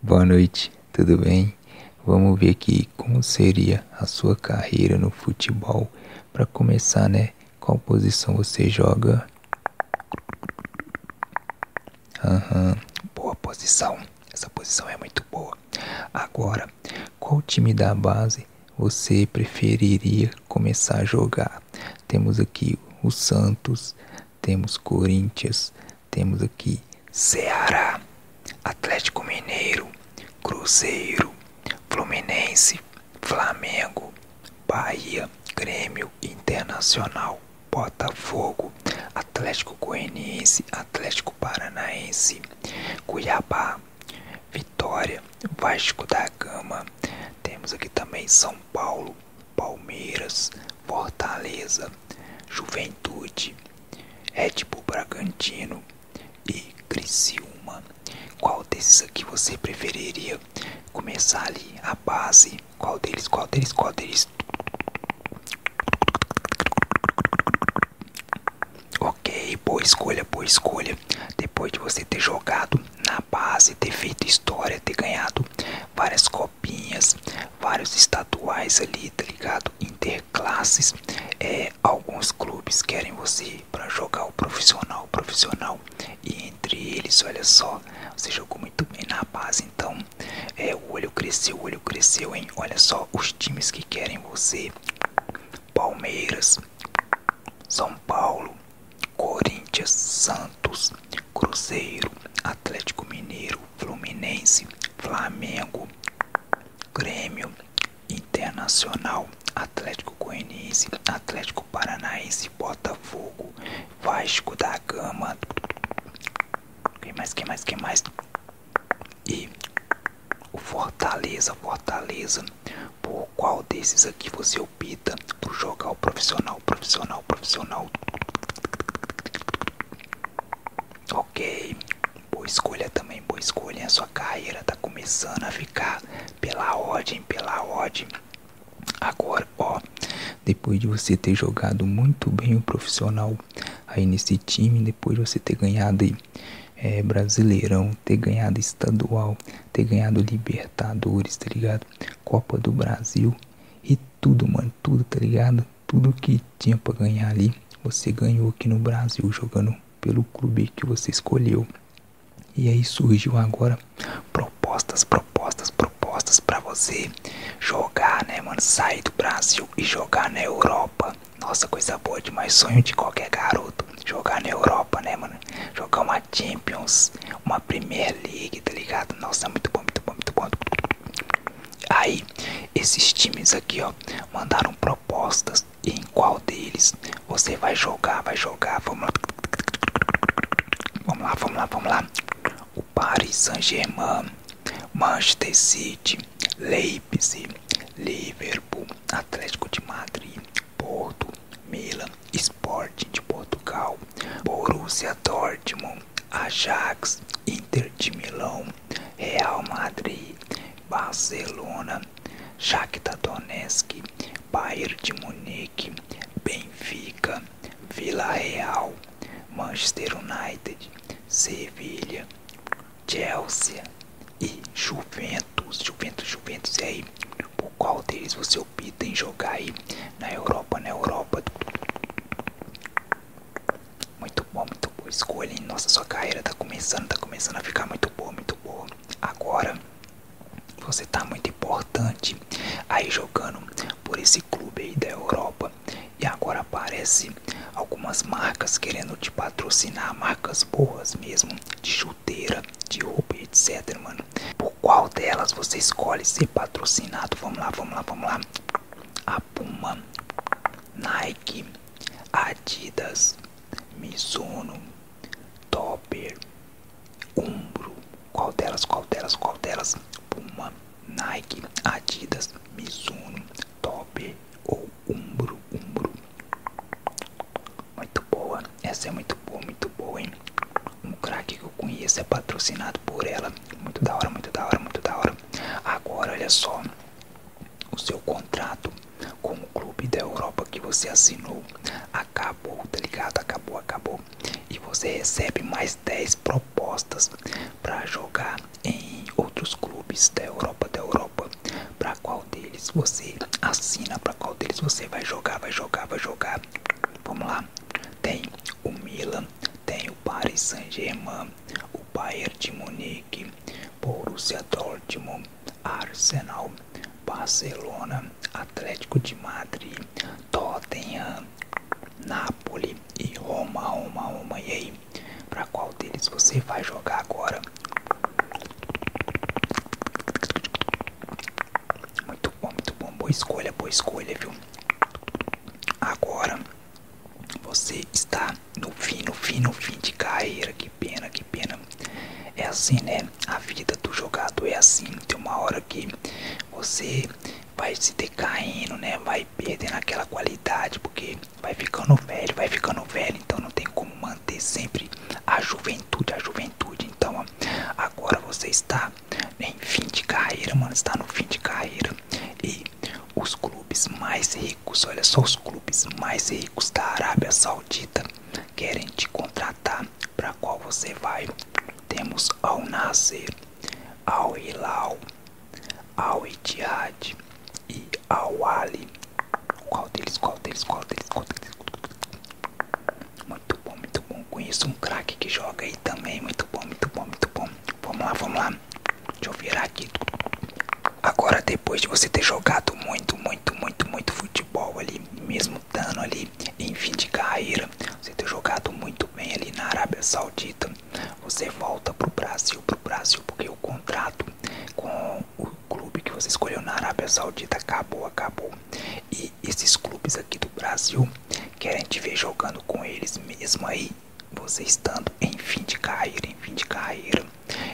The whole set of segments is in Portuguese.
Boa noite, tudo bem? Vamos ver aqui como seria a sua carreira no futebol. Para começar, né? Qual posição você joga? Aham, boa posição. Essa posição é muito boa. Agora, qual time da base você preferiria começar a jogar? Temos aqui o Santos, temos Corinthians, temos aqui Ceará, Atlético Mineiro, Cruzeiro, Fluminense, Flamengo, Bahia, Grêmio Internacional, Botafogo, Atlético Goianiense, Atlético Paranaense, Cuiabá, Vitória, Vasco da Gama. Temos aqui também São Paulo, Palmeiras, Fortaleza, Juventude, Red Bragantino e Criciúma. Qual desses aqui você preferiria começar ali a base? Qual deles? Qual deles? Qual deles? Ok, boa escolha, boa escolha. Depois de você ter jogado na base, ter feito história, ter ganhado várias copinhas, vários estaduais ali, tá ligado? Interclasses. É, alguns clubes querem você para jogar o profissional, profissional. E entre eles, olha só, você jogou muito bem na base. Então, é, o olho cresceu, o olho cresceu, hein? Olha só, os times que querem você: Palmeiras, São Paulo, Corinthians, Santos, Cruzeiro, Atlético Mineiro, Fluminense, Flamengo, Grêmio, Internacional, Atlético Goianiense, Atlético Paranaense, Botafogo, Vasco da Gama. Quem mais, quem mais, quem mais? E o Fortaleza, Fortaleza. Por qual desses aqui você Pita por jogar o profissional, profissional, profissional. Ok, boa escolha também, boa escolha. A sua carreira tá começando a ficar pela ordem, pela ordem. Agora, ó, depois de você ter jogado muito bem o profissional aí nesse time, depois de você ter ganhado aí, eh, brasileirão, ter ganhado estadual, ter ganhado Libertadores, tá ligado? Copa do Brasil e tudo, mano, tudo, tá ligado? Tudo que tinha pra ganhar ali, você ganhou aqui no Brasil, jogando pelo clube que você escolheu. E aí surgiu agora propostas, propostas, propostas para você jogar, né, mano? Sair do Brasil e jogar na Europa. Nossa, coisa boa demais. Sonho de qualquer garoto. Jogar na Europa, né, mano? Jogar uma Champions, uma Primeira League, tá ligado? Nossa, é muito bom, muito bom, muito bom. Aí, esses times aqui, ó, mandaram propostas em qual deles você vai jogar, vai jogar. Vamos lá. Vamos lá, vamos lá, vamos lá. O Paris Saint-Germain, Manchester City, Leipzig, Liverpool, Atlético de Madrid, Porto, Milan, Sporting de Portugal, Borussia Dortmund, Ajax, Inter de Milão, Real Madrid, Barcelona, Shakhtar Donetsk, Bayern de Munique, Benfica, Vila Real, Manchester United, Sevilha, Chelsea e Juventus, Juventus, Juventus e aí por qual deles você opta em jogar aí na Europa, na Europa. Muito bom, muito boa escolha, hein? Nossa, sua carreira tá começando, tá começando a ficar muito boa, muito boa. Agora você tá muito importante aí jogando por esse clube aí da Europa. E agora aparece algumas marcas querendo te patrocinar, marcas boas mesmo de chuteira, de roupa, etc, mano. Por qual delas você escolhe ser patrocinado? Vamos lá, vamos lá, vamos lá. A Puma, Nike, Adidas, Mizuno, Topper, Umbro. Qual delas, qual delas, qual delas? Puma, Nike, Adidas, Mizuno, Topper ou Umbro, Umbro. Muito boa, essa é muito boa, muito boa, hein? Um craque que eu conheço é patrocinado por ela. Muito da hora, muito da hora, muito da hora. Agora, olha só, o seu contrato com o clube da Europa que você assinou acabou, tá ligado? Acabou, acabou. E você recebe mais 10 propostas para jogar em outros clubes da Europa, da Europa para qual deles você assina, para qual deles você vai jogar, vai jogar, vai jogar. Vamos lá. Tem o Milan, tem o Paris Saint-Germain, o Bayern de Munique, Borussia Dortmund, Arsenal, Barcelona, Atlético de Madrid, Tottenham, Napoli e Roma, Roma, Roma. E aí, para qual deles você vai jogar agora? Muito bom, muito bom. Boa escolha, boa escolha, viu? Agora você está no fim, no fim, no fim de carreira. Que pena, que pena. É assim, né? A vida do jogador é assim. Tem uma hora que você vai se decaindo, né? Vai perdendo aquela qualidade, porque vai ficando velho, vai ficando velho. Então não tem como como manter sempre a juventude, a juventude. Então, agora você está em fim de carreira, mano, está no fim de carreira e os clubes mais ricos, olha só, os clubes mais ricos da Arábia Saudita querem te contratar. Para qual você vai? Temos Al Nasser, Al Hilal, Al Ittihad, e ao Ali. Qual deles? Qual deles? Qual deles? Qual deles? Muito bom, muito bom. Conheço um craque que joga aí também. Muito bom, muito bom, muito bom. Vamos lá, vamos lá. Deixa eu virar aqui. Agora, depois de você ter jogado muito, muito, muito, muito futebol ali, mesmo dando ali em fim de carreira, você ter jogado muito bem ali na Arábia Saudita, você volta pro Brasil, pro Brasil, porque o contrato com o clube que você escolheu na Arábia Saudita, acabou, acabou. E esses clubes aqui do Brasil querem te ver jogando com eles mesmo aí, você estando em fim de carreira, em fim de carreira.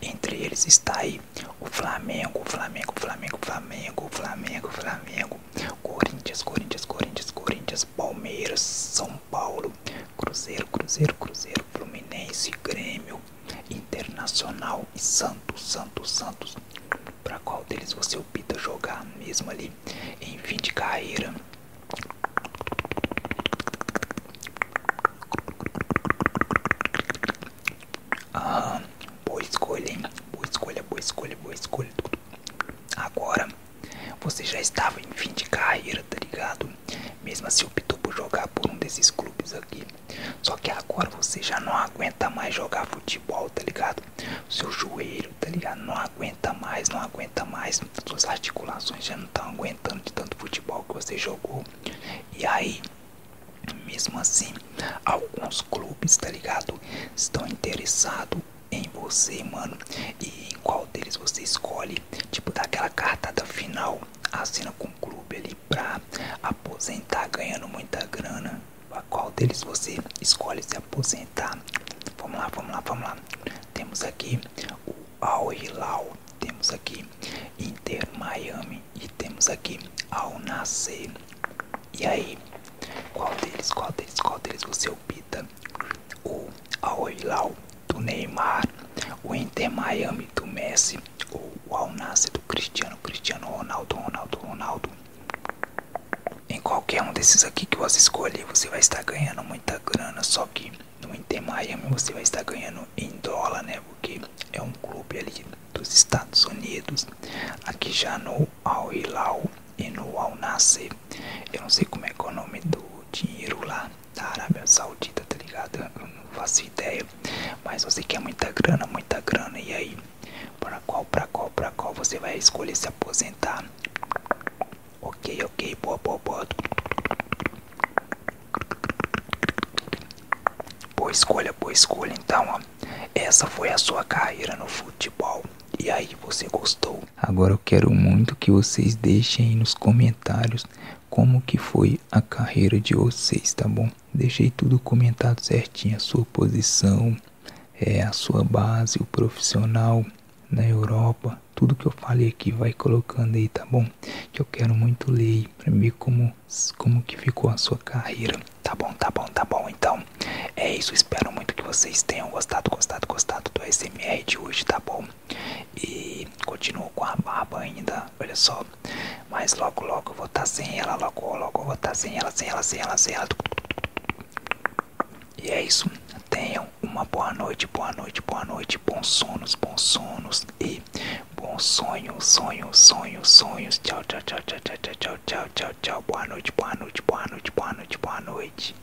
Entre eles está aí o Flamengo, Flamengo, Flamengo, Flamengo, Flamengo, Flamengo, Corinthians, Corinthians, Corinthians, Corinthians, Palmeiras, São Paulo, Cruzeiro, Cruzeiro, Cruzeiro, Fluminense, Grêmio, Internacional e Santos, Santos, Santos. Para qual deles você opta jogar mesmo ali em fim de carreira? boa escolha, hein? Boa escolha, boa escolha, boa escolha. Agora, você já estava em fim de carreira, tá ligado? mesmo assim optou por jogar por um desses clubes aqui. Só que agora você já não aguenta mais jogar futebol, tá ligado? Seu joelho, tá ligado? Não aguenta mais, não aguenta mais. Suas articulações já não estão aguentando de tanto futebol que você jogou. E aí, mesmo assim, alguns clubes, tá ligado? Estão interessados em você, mano. E em qual deles você escolhe tipo dar aquela cartada final, assina com o clube ali pra aposentar ganhando muita grana. qual deles você escolhe se aposentar? Vamos lá, vamos lá, vamos lá. Temos aqui o Al Hilal, temos aqui Inter Miami e temos aqui Al Nasser. E aí, qual deles, qual deles, qual deles você opta? O Al Hilal do Neymar, o Inter Miami do Messi, ou o Al Nassr do Cristiano, Cristiano Ronaldo, Ronaldo, Ronaldo. Em qualquer um desses aqui que você escolher, você vai estar ganhando muita grana, só que no Inter Miami você vai estar ganhando em dólar, né? Porque é um clube ali dos Estados Unidos. Aqui já no Al Hilal e no Al Nassr, eu não sei como é, é o nome do dinheiro lá da Arábia Saudita, tá ligado? Eu não faço ideia. Mas você quer é muita grana, muita grana. E aí, para qual, para qual, para qual você vai escolher se aposentar? Ok, ok, boa, boa, boa. Boa escolha, boa escolha. Então, essa foi a sua carreira no futebol. E aí, você gostou? Agora eu quero muito que vocês deixem nos comentários comentários como que foi a carreira de vocês, tá bom? Deixei tudo comentado certinho, a sua posição, é, a sua base, o profissional na Europa, tudo que eu falei aqui, vai colocando aí, tá bom? Que eu quero muito ler aí, pra ver como, como que ficou a sua carreira. Tá bom, tá bom, tá bom, então é isso, espero muito que vocês tenham gostado, gostado, gostado do SMR de hoje, tá bom? E continuo com a barba ainda, olha só. Mas logo logo eu vou estar tá sem ela, logo logo eu vou estar tá sem ela, sem ela, sem ela, sem ela. E é isso. Tenham uma boa noite, boa noite, boa noite, bons sonos, bons sonos e bons sonhos, sonhos, sonhos, sonhos. Tchau, tchau, tchau, tchau, tchau, tchau, tchau, tchau, tchau. Boa noite, boa noite, boa noite, boa noite, boa noite.